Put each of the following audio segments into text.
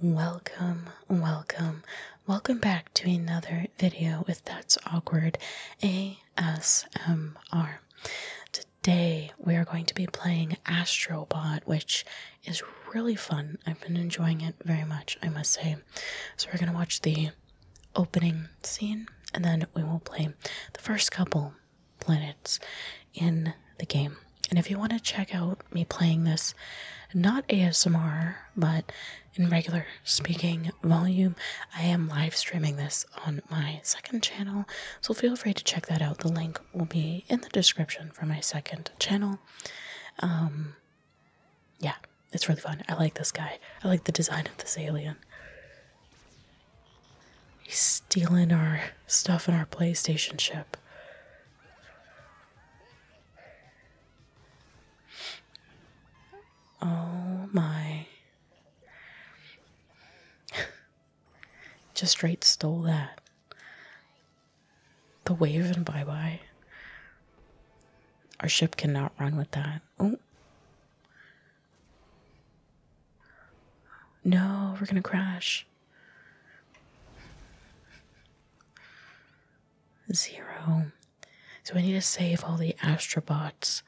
Welcome, welcome, welcome back to another video with That's Awkward ASMR. Today we are going to be playing Astrobot, which is really fun. I've been enjoying it very much, I must say. So we're going to watch the opening scene and then we will play the first couple planets in the game. And if you want to check out me playing this, not ASMR, but in regular speaking volume, I am live streaming this on my second channel. So feel free to check that out. The link will be in the description for my second channel. Um, yeah, it's really fun. I like this guy, I like the design of this alien. He's stealing our stuff in our PlayStation ship. Oh my. Just right, stole that. The wave and bye bye. Our ship cannot run with that. Oh. No, we're gonna crash. Zero. So we need to save all the astrobots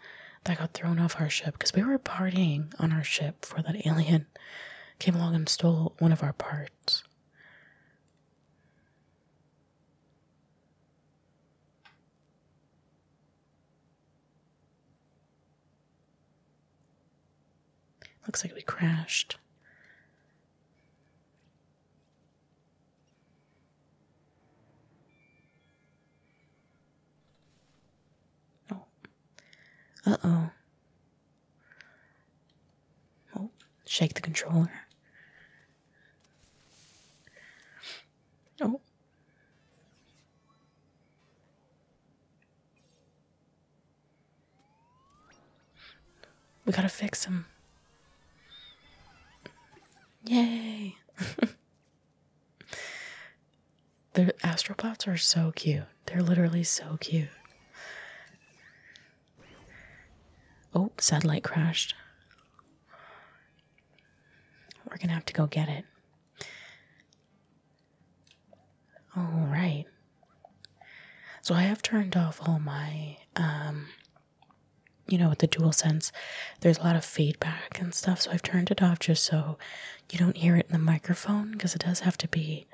that got thrown off our ship because we were partying on our ship For that alien came along and stole one of our parts. Looks like we crashed. Oh. Uh-oh. Oh, shake the controller. Oh. We gotta fix him. Yay! the astropods are so cute. They're literally so cute. Oh, satellite crashed. We're gonna have to go get it. All right. So I have turned off all my um, you know with the dual sense there's a lot of feedback and stuff so I've turned it off just so you don't hear it in the microphone because it does have to be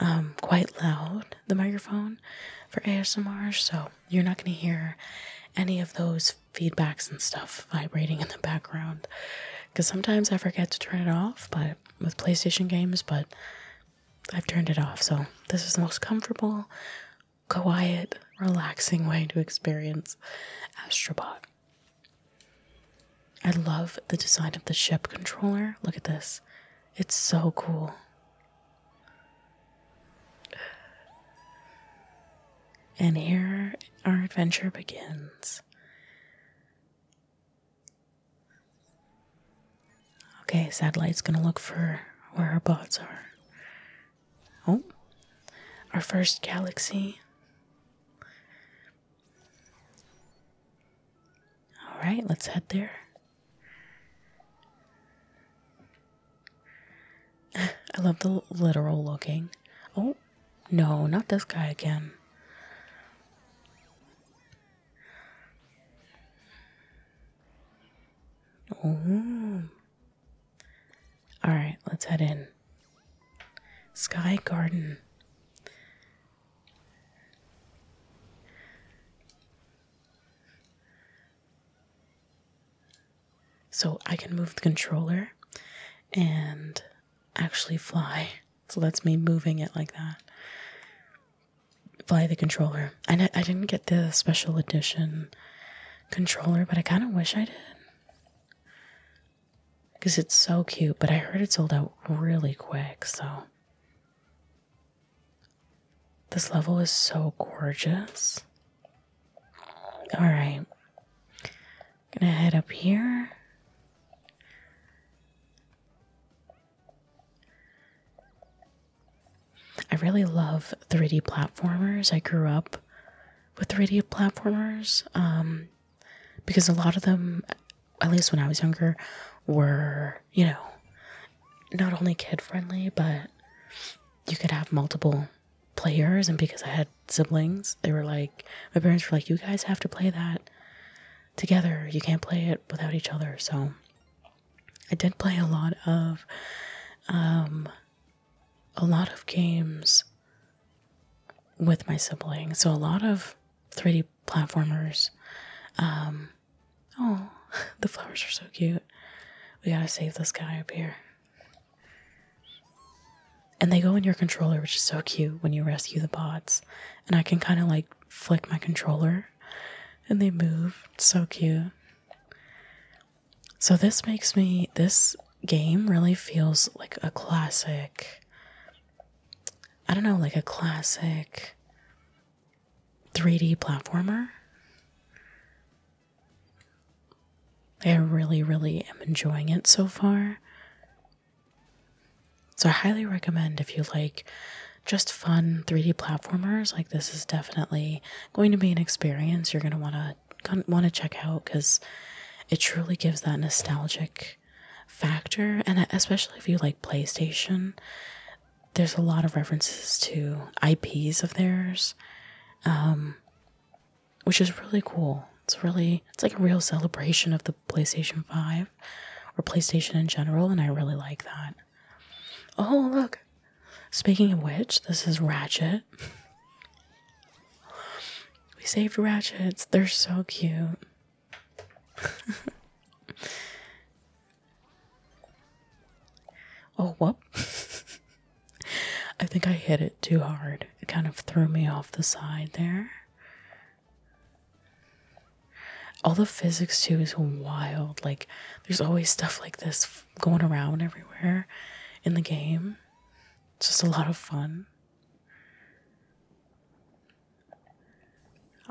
um, quite loud the microphone for ASMR so you're not going to hear any of those feedbacks and stuff vibrating in the background because sometimes I forget to turn it off but with PlayStation games but I've turned it off, so this is the most comfortable, quiet, relaxing way to experience Astrobot. I love the design of the ship controller. Look at this. It's so cool. And here our adventure begins. Okay, satellite's gonna look for where our bots are. Oh, our first galaxy. Alright, let's head there. I love the literal looking. Oh, no, not this guy again. Oh. All right, let's head in. Sky Garden. So I can move the controller and actually fly. So that's me moving it like that via the controller. I, I didn't get the special edition controller, but I kind of wish I did. Because it's so cute, but I heard it sold out really quick, so. This level is so gorgeous. Alright. Gonna head up here. I really love 3D platformers. I grew up with 3D platformers um, because a lot of them, at least when I was younger, were, you know, not only kid friendly, but you could have multiple players. And because I had siblings, they were like, my parents were like, you guys have to play that together. You can't play it without each other. So I did play a lot of um a lot of games with my siblings. So a lot of 3D platformers. Um oh, the flowers are so cute. We gotta save this guy up here. And they go in your controller, which is so cute when you rescue the bots. And I can kind of like flick my controller and they move. so cute. So this makes me this game really feels like a classic I don't know, like a classic 3D platformer. I really, really am enjoying it so far. So I highly recommend if you like just fun 3D platformers, like this is definitely going to be an experience you're going to want to want to check out cuz it truly gives that nostalgic factor and especially if you like PlayStation, there's a lot of references to IPs of theirs. Um, which is really cool. It's really it's like a real celebration of the PlayStation 5 or PlayStation in general, and I really like that. Oh, look. Speaking of which, this is Ratchet. we saved Ratchets. They're so cute. oh, whoop. I think I hit it too hard. It kind of threw me off the side there. All the physics too is wild. Like there's always stuff like this going around everywhere in the game. It's just a lot of fun.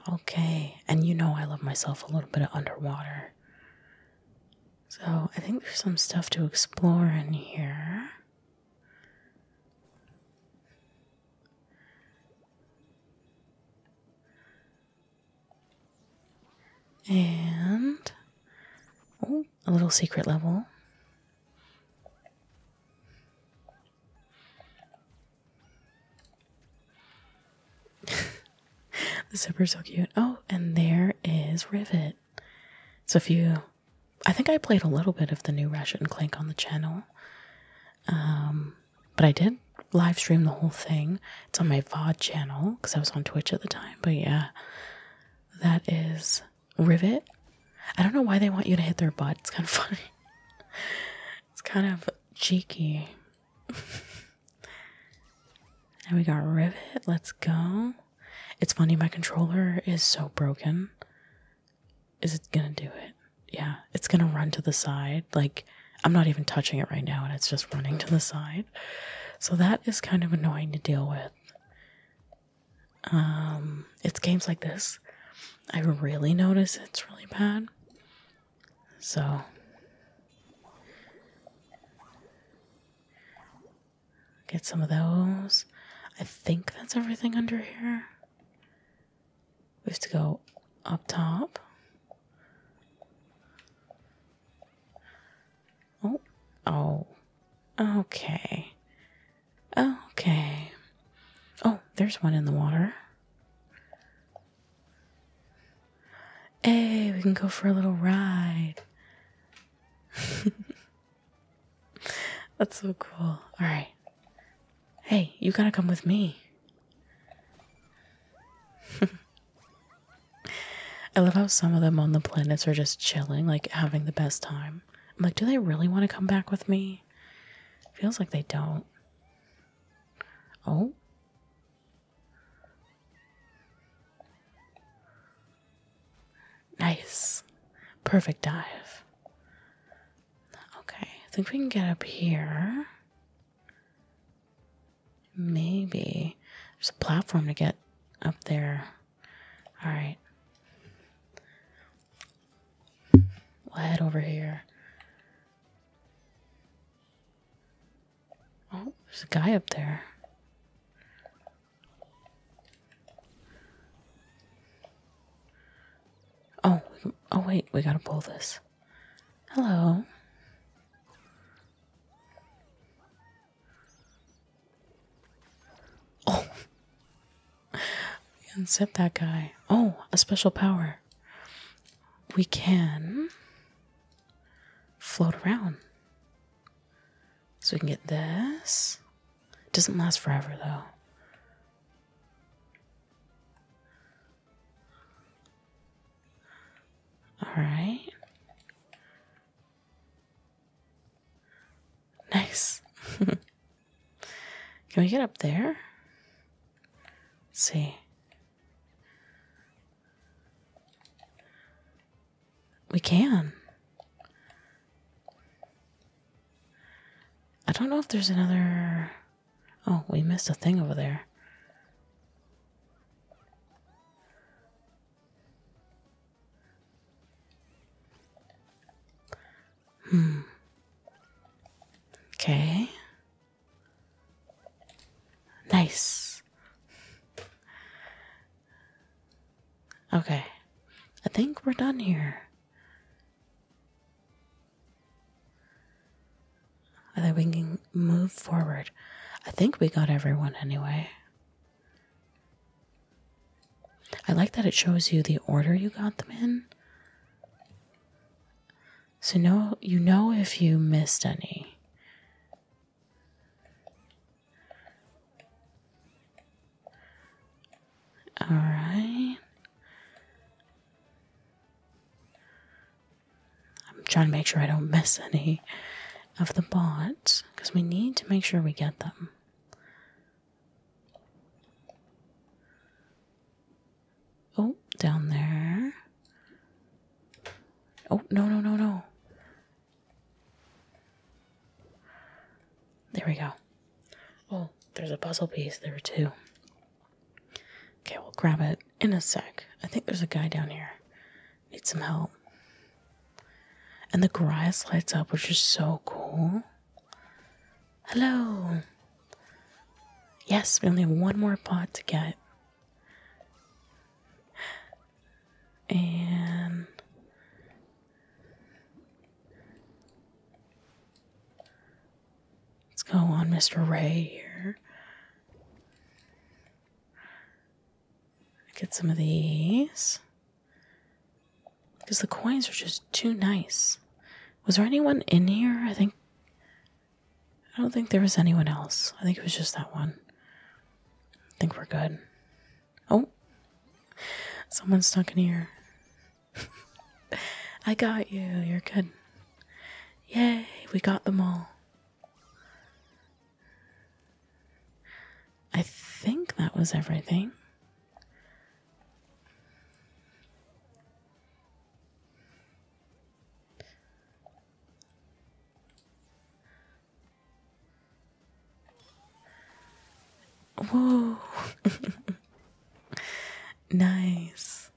Okay, and you know I love myself a little bit of underwater. So I think there's some stuff to explore in here. And oh, a little secret level. the zipper's so cute. Oh, and there is Rivet. So if you I think I played a little bit of the new Ratchet and Clank on the channel. Um but I did live stream the whole thing. It's on my VOD channel because I was on Twitch at the time. But yeah, that is Rivet. I don't know why they want you to hit their butt. It's kind of funny. It's kind of cheeky. and we got Rivet. Let's go. It's funny, my controller is so broken is it gonna do it? Yeah, it's gonna run to the side. Like, I'm not even touching it right now, and it's just running to the side. So that is kind of annoying to deal with. Um, it's games like this. I really notice it's really bad. So get some of those. I think that's everything under here. We have to go up top. Oh, oh, okay. Okay. Oh, there's one in the water. Hey, we can go for a little ride. That's so cool. All right. Hey. you gotta come with me. I love how some of them on the planets are just chilling, like having the best time. I'm like, do they really want to come back with me? Feels like they don't. Oh. Nice. Perfect dive. Okay, I think we can get up here. Maybe there's a platform to get up there. All right. We'll head over here. Oh, there's a guy up there. Oh, oh wait, we gotta pull this. Hello. Oh, we set that guy. Oh, a special power. We can float around. So we can get this. It doesn't last forever though. All right. Nice. Can we get up there? see. We can. I don't know if there's another Oh, we missed a thing over there. Hmm. Okay. Nice. Okay. I think we're done here. And then we can move forward. I think we got everyone anyway. I like that it shows you the order you got them in. So no, you know if you missed any. All right. I'm trying to make sure I don't miss any of the bots because we need to make sure we get them. Oh, down there. Oh, no, no, no, no. There we go. Oh, there's a puzzle piece there too. Okay, we'll grab it in a sec. I think there's a guy down here. Need some help. And the grass lights up, which is so cool. Hello. Yes, we only have one more pot to get. And Let's go on, Mr. Ray here. Get some of these. Because the coins are just too nice. Was there anyone in here? I think. I don't think there was anyone else. I think it was just that one. I think we're good. Oh! Someone's stuck in here. I got you. You're good. Yay, we got them all. I think that was everything. Whoa. nice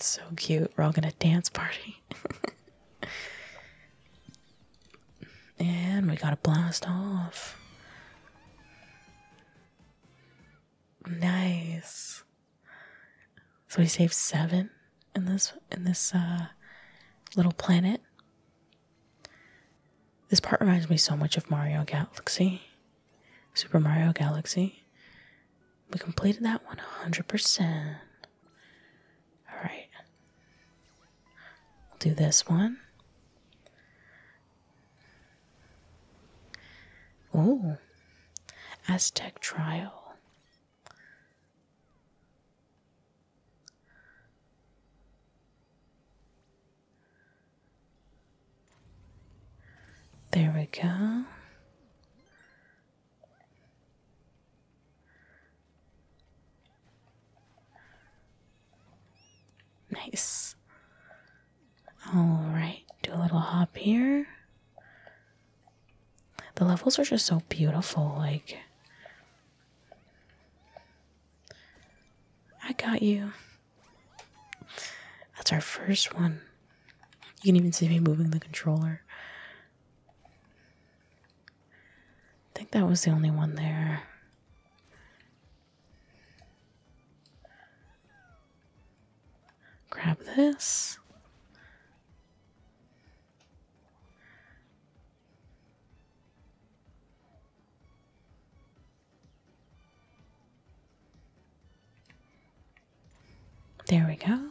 so cute. We're all gonna dance party. and we gotta blast off. Nice. So we saved seven in this in this uh, little planet. This part reminds me so much of Mario Galaxy. Super Mario Galaxy. We completed that one 100%. Alright. We'll do this one. Oh. Aztec Trial. There we go. Nice. All right, do a little hop here. The levels are just so beautiful, like I got you. That's our first one. You can even see me moving the controller. I think that was the only one there. Grab this. There we go.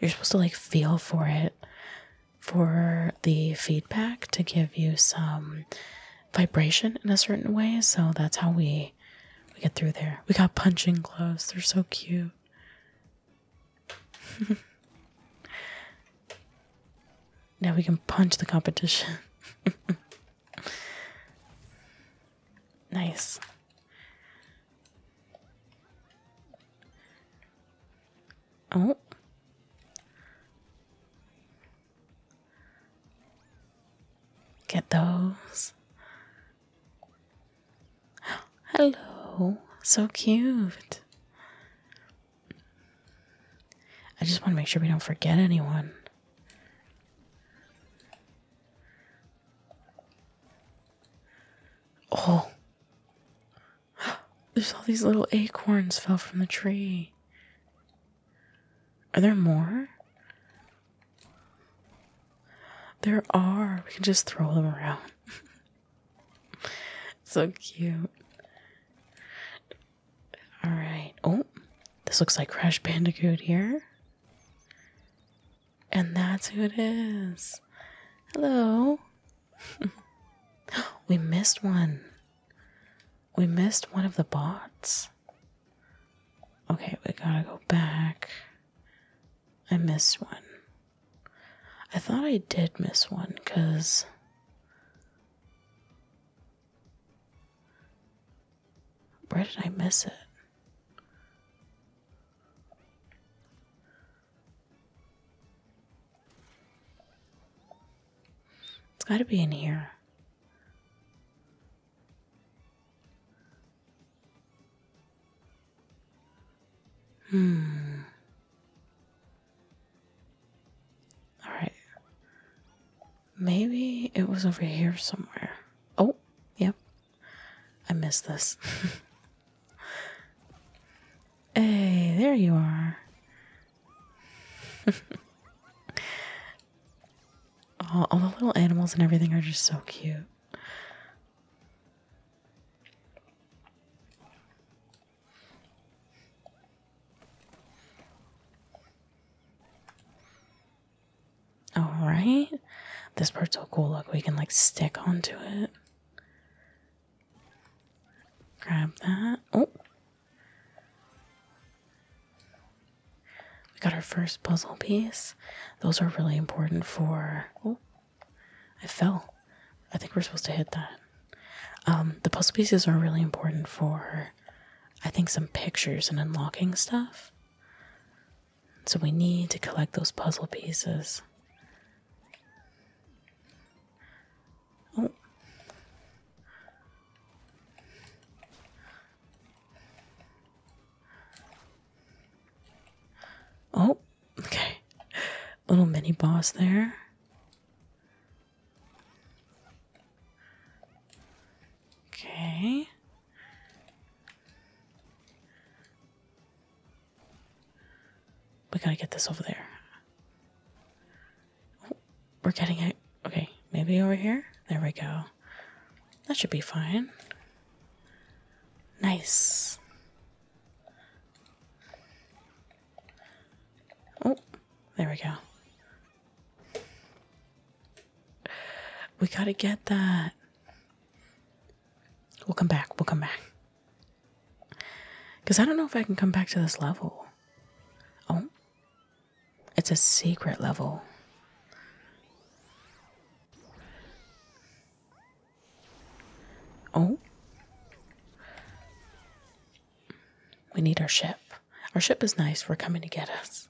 You're supposed to like feel for it for the feedback to give you some vibration in a certain way. So that's how we we get through there. We got punching gloves. They're so cute. Now we can punch the competition. nice. Oh. Get those. Hello. So cute. I just want to make sure we don't forget anyone. Oh. There's all these little acorns fell from the tree. Are there more? There are. We can just throw them around. so cute. All right. Oh, this looks like Crash Bandicoot here. And that's who it is. Hello. we missed one. We missed one of the bots. Okay, we gotta go back. I missed one. I thought I did miss one because where did I miss it? It's got to be in here. Hmm. Alright. Maybe it was over here somewhere. Oh, yep. I missed this. hey, there you are. all, all the little animals and everything are just so cute. All right. This part's so cool. Look, we can like stick onto it. Grab that. Oh. We got our first puzzle piece. Those are really important for. Oh, I fell. I think we're supposed to hit that. Um, the puzzle pieces are really important for, I think, some pictures and unlocking stuff. So we need to collect those puzzle pieces. Oh. Oh, okay. Little mini boss there. Okay. We gotta get this over there. we're getting it. Okay, maybe over here? There we go. That should be fine. Nice. Oh, there we go. We gotta get that. We'll come back. We'll come back. Because I don't know if I can come back to this level. Oh. It's a secret level. Oh. We need our ship. Our ship is nice. We're coming to get us.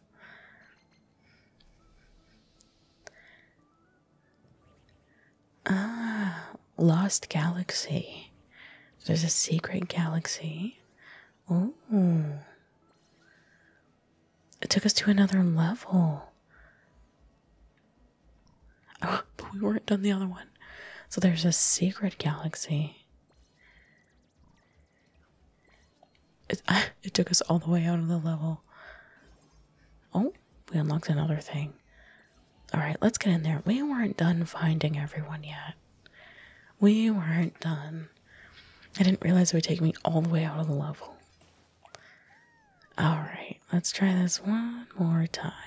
Ah, Lost Galaxy. There's a secret galaxy. Oh. It took us to another level. Oh, but we weren't done the other one. So there's a secret galaxy. It, it took us all the way out of the level. Oh, we unlocked another thing. Alright, let's get in there. We weren't done finding everyone yet. We weren't done. I didn't realize it would take me all the way out of the level. Alright, let's try this one more time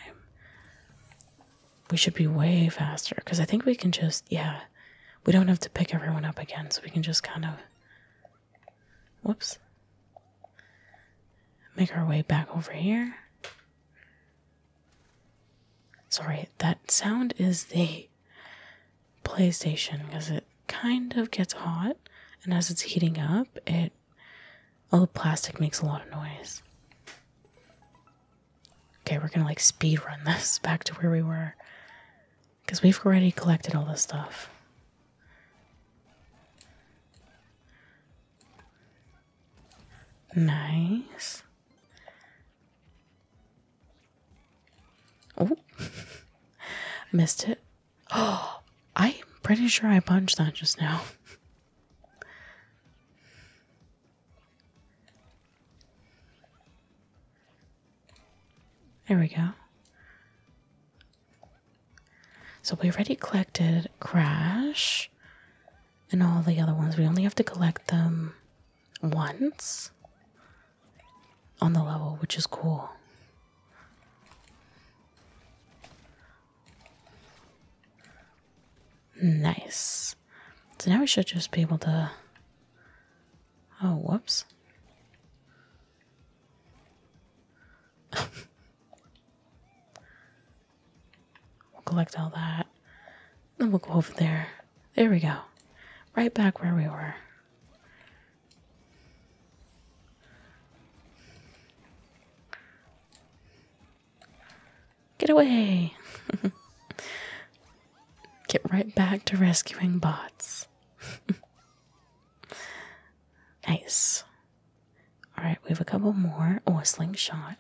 we should be way faster because I think we can just, yeah, we don't have to pick everyone up again, so we can just kind of, whoops, make our way back over here. Sorry, that sound is the PlayStation because it kind of gets hot, and as it's heating up, it all the plastic makes a lot of noise. Okay, we're gonna like speed run this back to where we were. Because we've already collected all this stuff. Nice. Oh, missed it. Oh, I'm pretty sure I punched that just now. There we go. So we already collected Crash and all the other ones. We only have to collect them once on the level, which is cool. Nice. So now we should just be able to. Oh, whoops. we'll collect all that. Then we'll go over there. There we go. Right back where we were. Get away! Get right back to rescuing bots. nice. Alright, we have a couple more. Oh, a slingshot.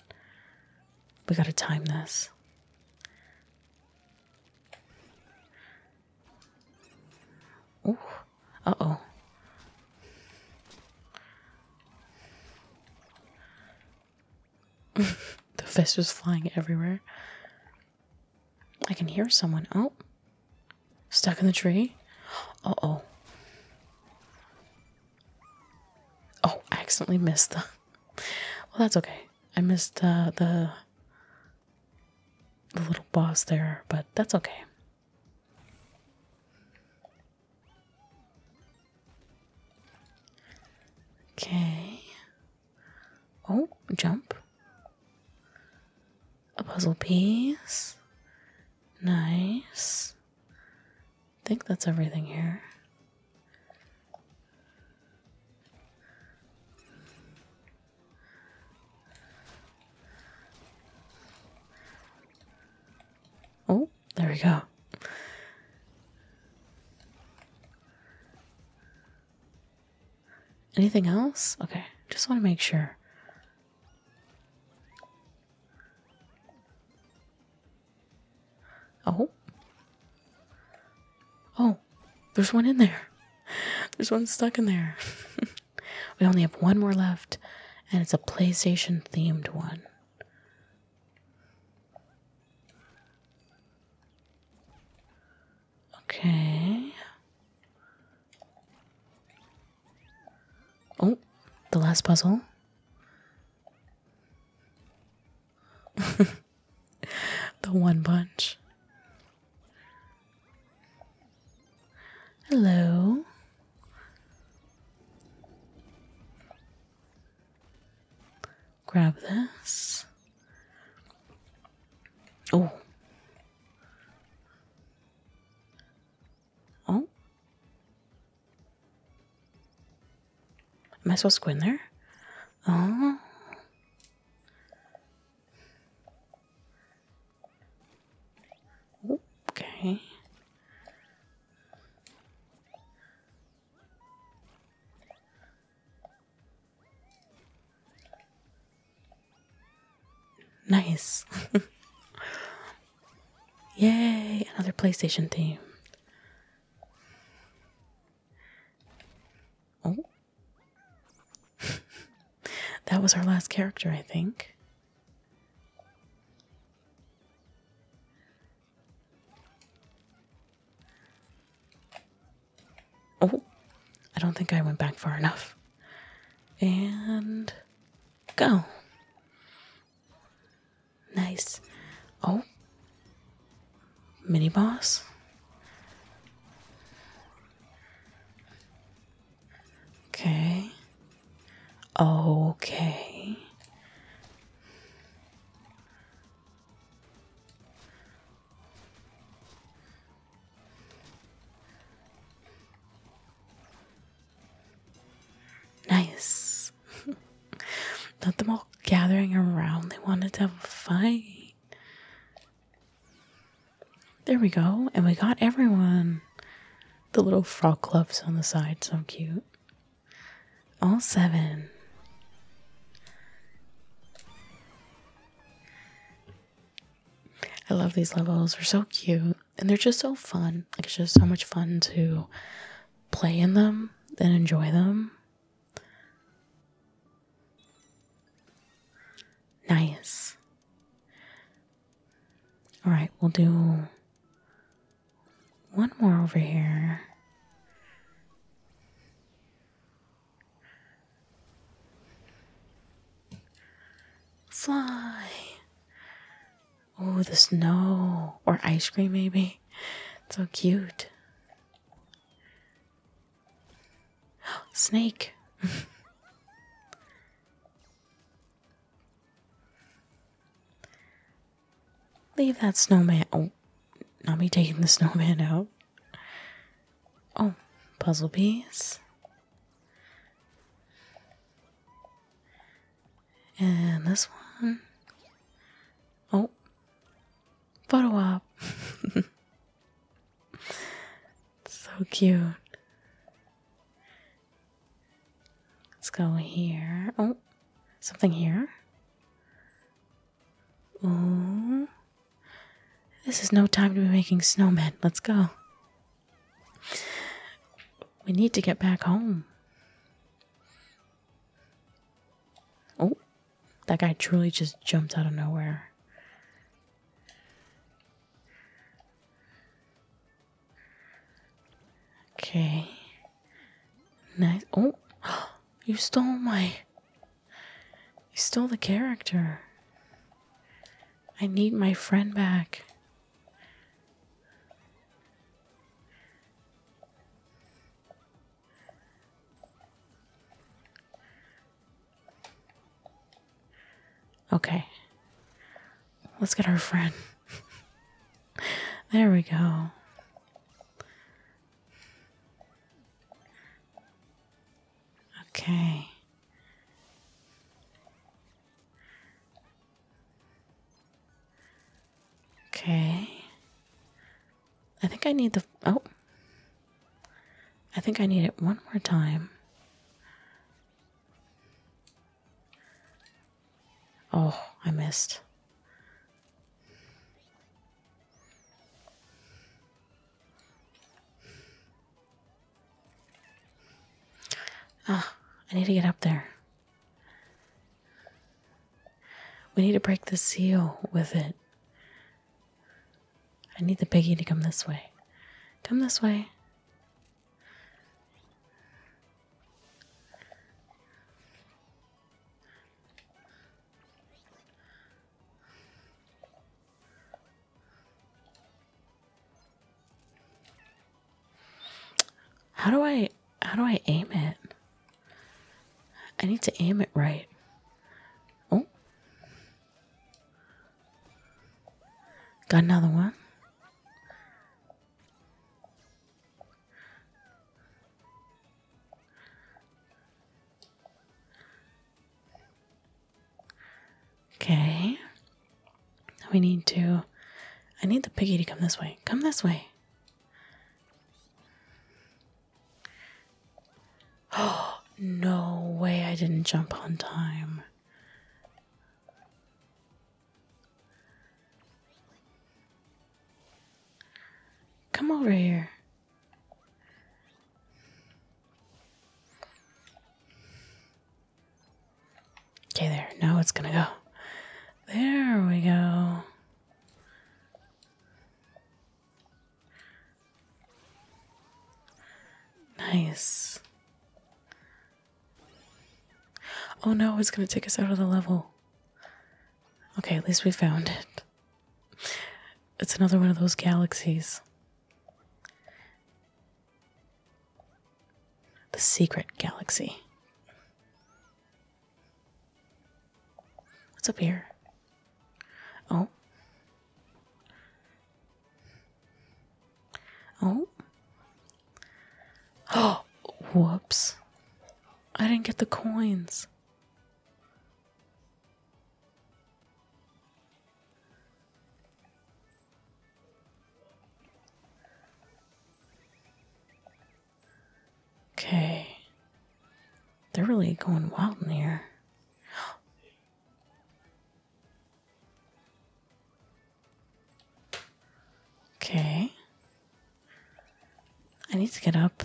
We gotta time this. Oh, Uh oh. the fist was flying everywhere. I can hear someone. Oh. Stuck in the tree? Oh oh. Oh, I accidentally missed the. Well, that's okay. I missed uh, the the little boss there, but that's okay. Okay. Oh, jump. A puzzle piece. Nice. I think that's everything here. Oh, there we go. Anything else? Okay, just want to make sure. Oh. Oh, there's one in there. There's one stuck in there. we only have one more left, and it's a PlayStation themed one. Okay. Oh, the last puzzle. the one bunch. Hello. Grab this. Oh. Oh. Am I supposed to go in there? Oh. Okay. Nice. Yay, another PlayStation theme. Oh. that was our last character, I think. Oh, I don't think I went back far enough. And go. Nice. Oh, mini boss. Okay. Okay. Nice. Not them all gathering around. They wanted to have a fight. There we go. And we got everyone. The little frog gloves on the side, so cute. All seven. I love these levels. They're so cute and they're just so fun. Like, it's just so much fun to play in them and enjoy them. Nice. All right, we'll do one more over here. Fly. Oh, the snow or ice cream, maybe. so cute. Snake. Leave that snowman. Oh, not me taking the snowman out. Oh, puzzle piece. And this one. Oh, photo op. so cute. Let's go here. Oh, something here. Oh, this is no time to be making snowmen. Let's go. We need to get back home. Oh, that guy truly just jumped out of nowhere. Okay. Nice. Oh, you stole my. You stole the character. I need my friend back. Okay. Let's get our friend. there we go. Okay. Okay. I think I need the. Oh. I think I need it one more time. Oh, I missed. Ah, I need to get up there. We need to break the seal with it. I need the piggy to come this way. Come this way. How do I how do I aim it? I need to aim it right. Oh. Got another one. Okay. We need to. I need the piggy to come this way. Come this way. Oh, no way I didn't jump on time. Come over here. Okay, there. Now it's gonna go. There we go. Nice. Oh no, it's gonna take us out of the level. Okay, at least we found it. It's another one of those galaxies. The secret galaxy. What's up here? Oh. Oh. Oh, whoops. I didn't get the coins. Okay. They're really going wild in here. Okay. I need to get up.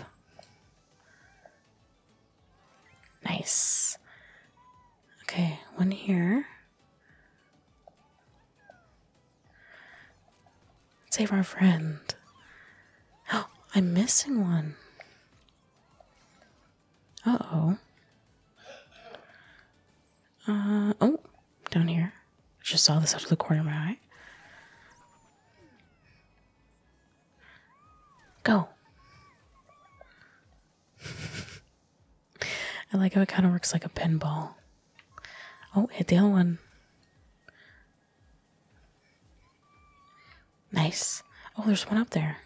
Nice. Okay, one here. Save our friend. Oh, I'm missing one. Uh oh. Uh oh, down here. I just saw this out of the corner of my eye. Go. I like how it kind of works like a pinball. Oh, hit the other one. Nice. Oh, there's one up there.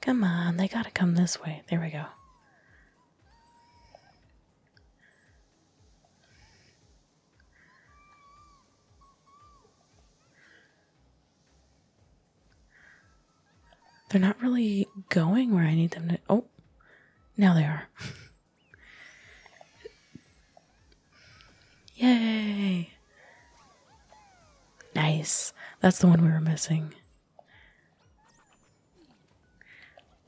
Come on, they gotta come this way. There we go. They're not really going where I need them to. Oh, now they are. Yay! Nice. That's the one we were missing.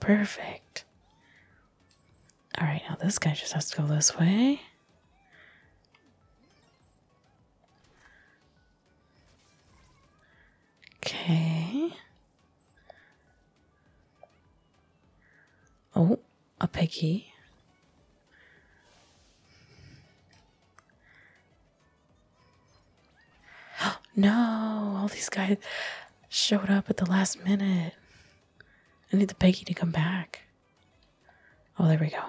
Perfect. Alright, now this guy just has to go this way. Okay. Oh, a piggy. no, all these guys showed up at the last minute. I need the Peggy to come back. Oh, there we go.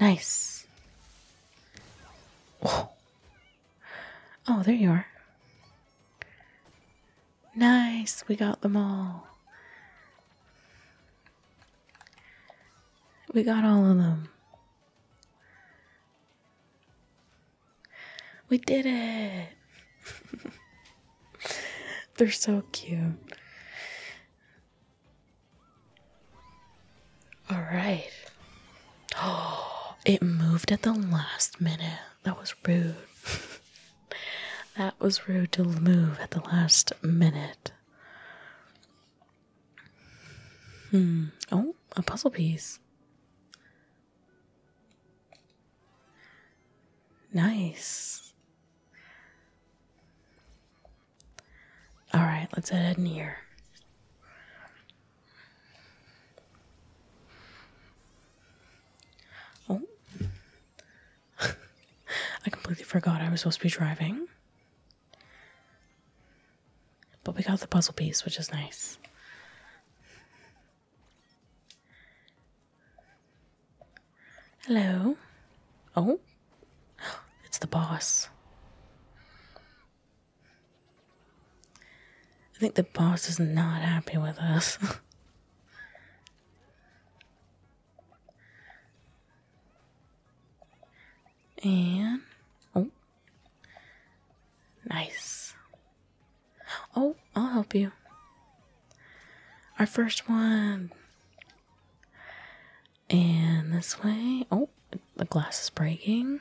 Nice. Oh, there you are. Nice, we got them all. We got all of them. We did it. They're so cute. All right. Oh, it moved at the last minute. That was rude. that was rude to move at the last minute. Hmm. Oh, a puzzle piece. Nice. All right, let's head in here. Oh, I completely forgot I was supposed to be driving. But we got the puzzle piece, which is nice. Hello. Oh, it's the boss. I think the boss is not happy with us. And oh, nice. Oh, I'll help you. Our first one. And this way. Oh, the glass is breaking.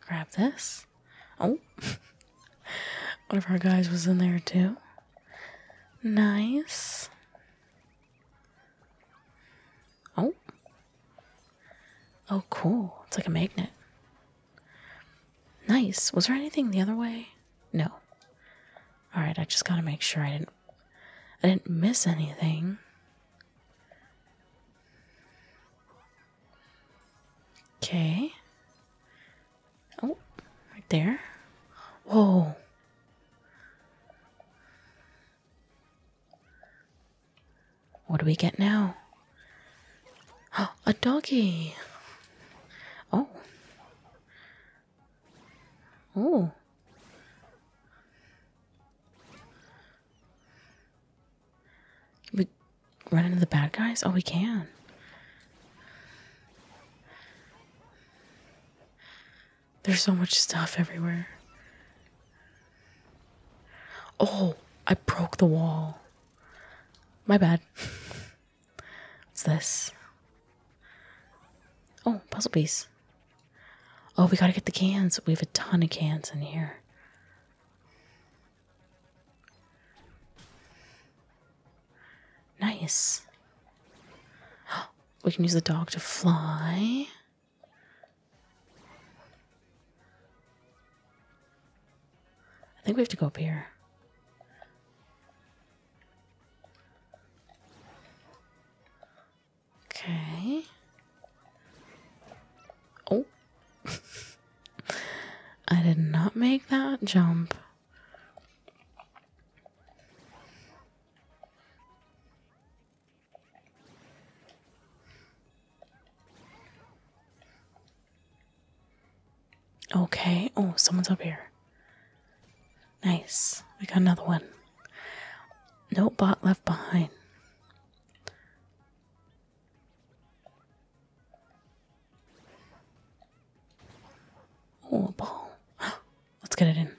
Grab this. Oh, one of our guys was in there too. Nice. Oh. Oh, cool. It's like a magnet. Nice. Was there anything the other way? No. All right, I just got to make sure I didn't I didn't miss anything. Okay. Oh, right there. Whoa. What do we get now? Oh, a doggy. Oh. Oh we run into the bad guys? Oh, we can. There's so much stuff everywhere. Oh, I broke the wall. My bad. What's this? Oh, puzzle piece. Oh, we gotta get the cans. We have a ton of cans in here. Nice. We can use the dog to fly. I think we have to go up here. Okay. Oh. I did not make that jump. Okay. Oh, someone's up here. Nice. We got another one. No bot left behind. Oh, ball. Let's get it in.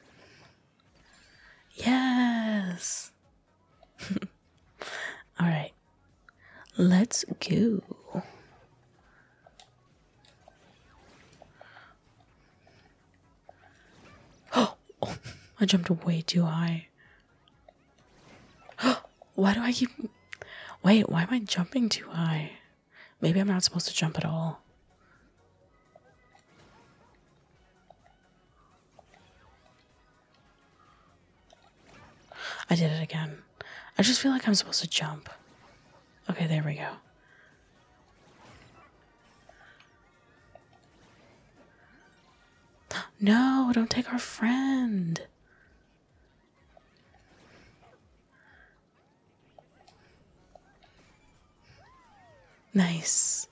Yes. All right. Let's go. Oh, I jumped way too high. why do I keep. Wait, why am I jumping too high? Maybe I'm not supposed to jump at all. I did it again. I just feel like I'm supposed to jump. Okay, there we go. No, don't take our friend. Nice.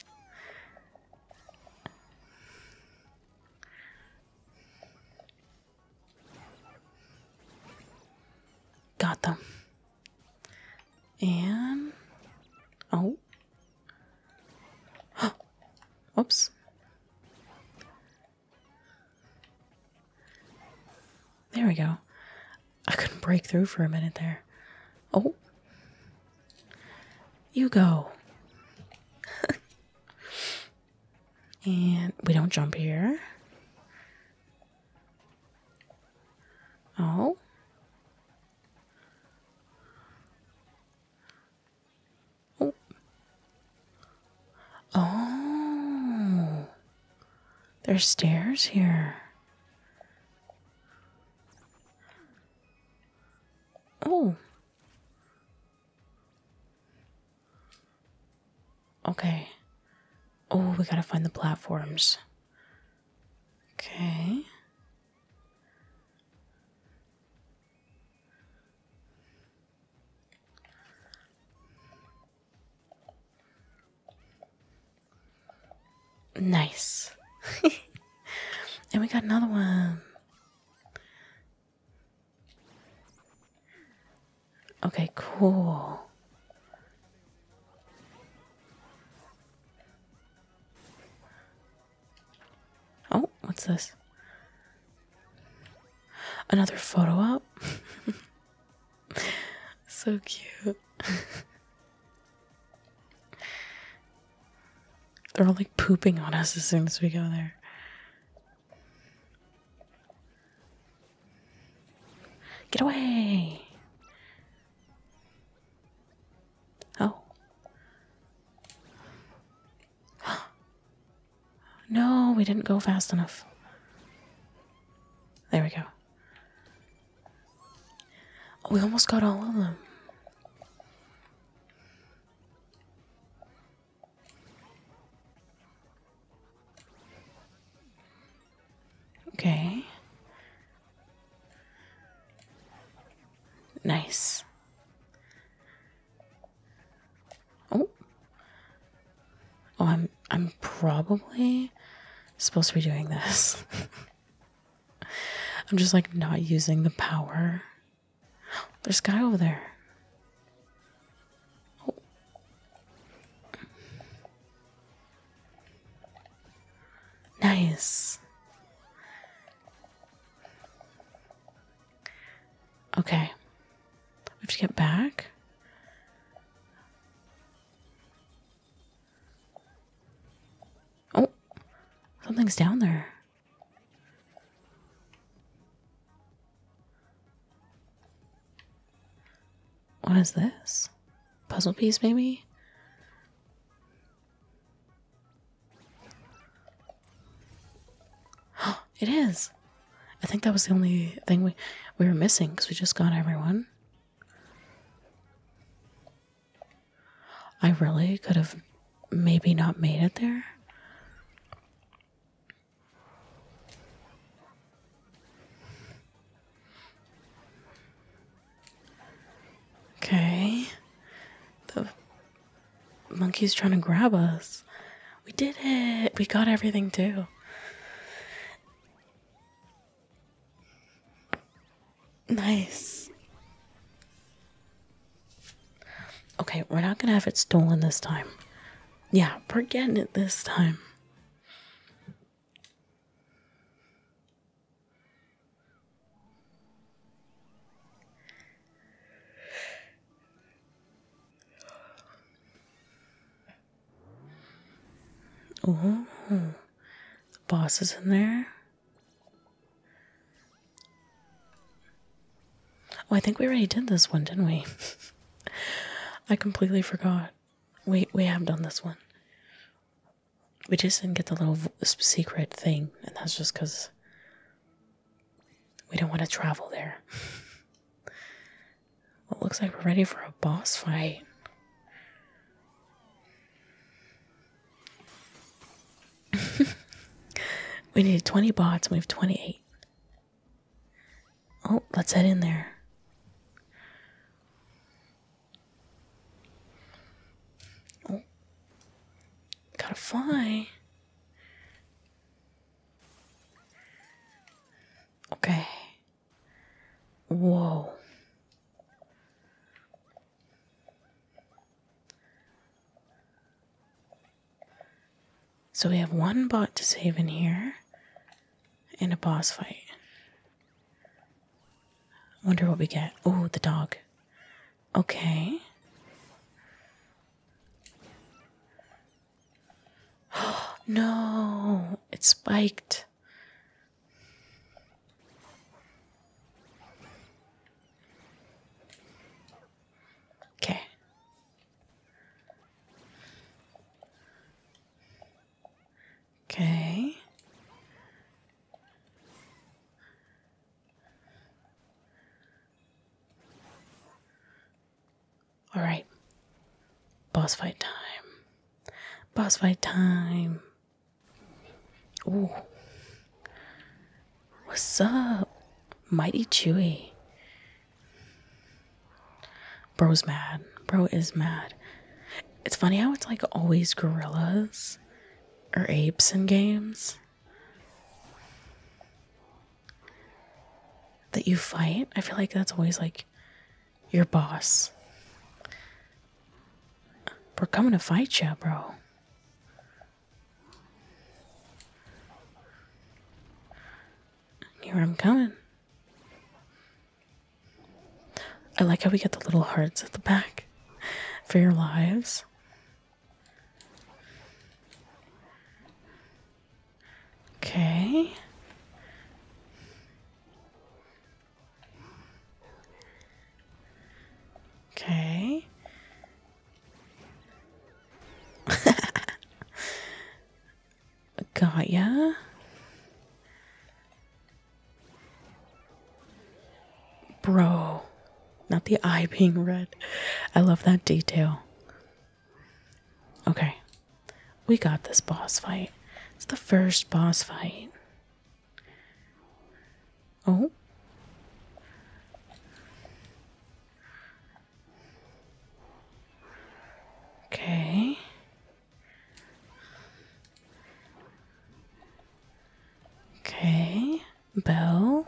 Got them. And oh, Oops. There we go. I couldn't break through for a minute there. Oh. You go. and we don't jump here. Oh. Oh. Oh. There's stairs here. Oh. Okay. Oh, we gotta find the platforms. Okay. Nice. and we got another one. Okay, cool. Oh, what's this? Another photo op? so cute. They're all like pooping on us as soon as we go there. Get away! Oh. no, we didn't go fast enough. There we go. Oh, we almost got all of them. Okay. Nice. Oh. Oh, I'm I'm probably supposed to be doing this. I'm just like not using the power. There's a guy over there. Oh. Nice. Okay. We have to get back. Oh, something's down there. What is this? Puzzle piece, maybe? it is. I think that was the only thing we we were missing because we just got everyone. I really could have maybe not made it there. Okay. The monkeys trying to grab us. We did it. We got everything too. Nice. Okay, we're not gonna have it stolen this time. Yeah, we're getting it this time. Oh, the boss is in there. Oh, I think we already did this one, didn't we? I completely forgot. We we have done this one. We just didn't get the little secret thing, and that's just because we don't want to travel there. well, it looks like we're ready for a boss fight. we needed 20 bots we have 28. Oh, let's head in there. Oh. Gotta fly. Okay. Whoa. So we have one bot to save in here and a boss fight. Wonder what we get. Oh, the dog. Okay. no, it spiked. Okay. Okay. Alright. Boss fight time. Boss fight time. Ooh. What's up? Mighty Chewy. Bro's mad. Bro is mad. It's funny how it's like always gorillas or apes in games that you fight. I feel like that's always like your boss. We're coming to fight you, bro. Here I'm coming. I like how we get the little hearts at the back for your lives. Okay. Okay. Got ya. Bro, not the eye being red. I love that detail. Okay. We got this boss fight. It's the first boss fight. Oh. Okay. Okay. Bell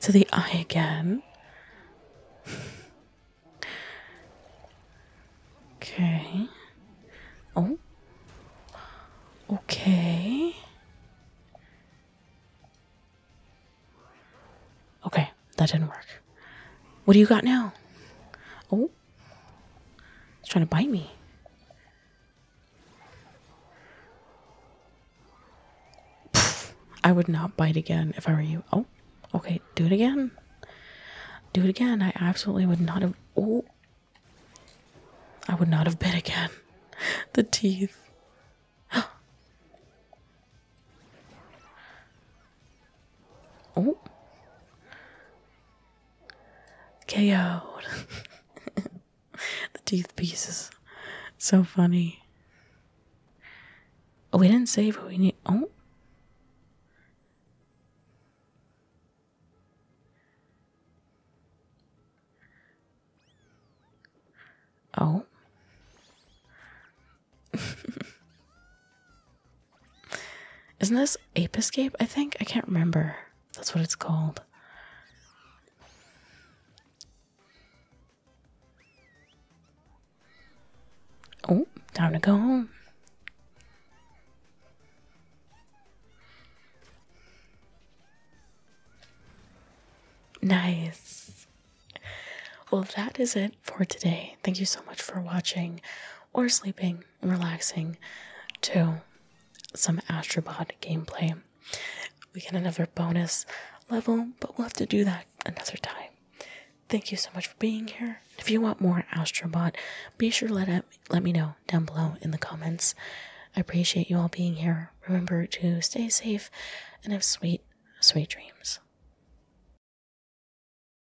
To the eye again. okay. Oh. Okay. Okay, that didn't work. What do you got now? Oh. It's trying to bite me. I would not bite again if I were you. Oh, okay. Do it again. Do it again. I absolutely would not have. Oh, I would not have bit again. the teeth. Oh. ko the teeth piece is so funny. Oh, we didn't save who we need. Oh. Oh. Isn't this Ape Escape? I think I can't remember. That's what it's called. Oh, time to go home. Nice. Well, that is it for today. Thank you so much for watching or sleeping and relaxing to some Astrobot gameplay. We get another bonus level, but we'll have to do that another time. Thank you so much for being here. If you want more Astrobot, be sure to let, let me know down below in the comments. I appreciate you all being here. Remember to stay safe and have sweet, sweet dreams.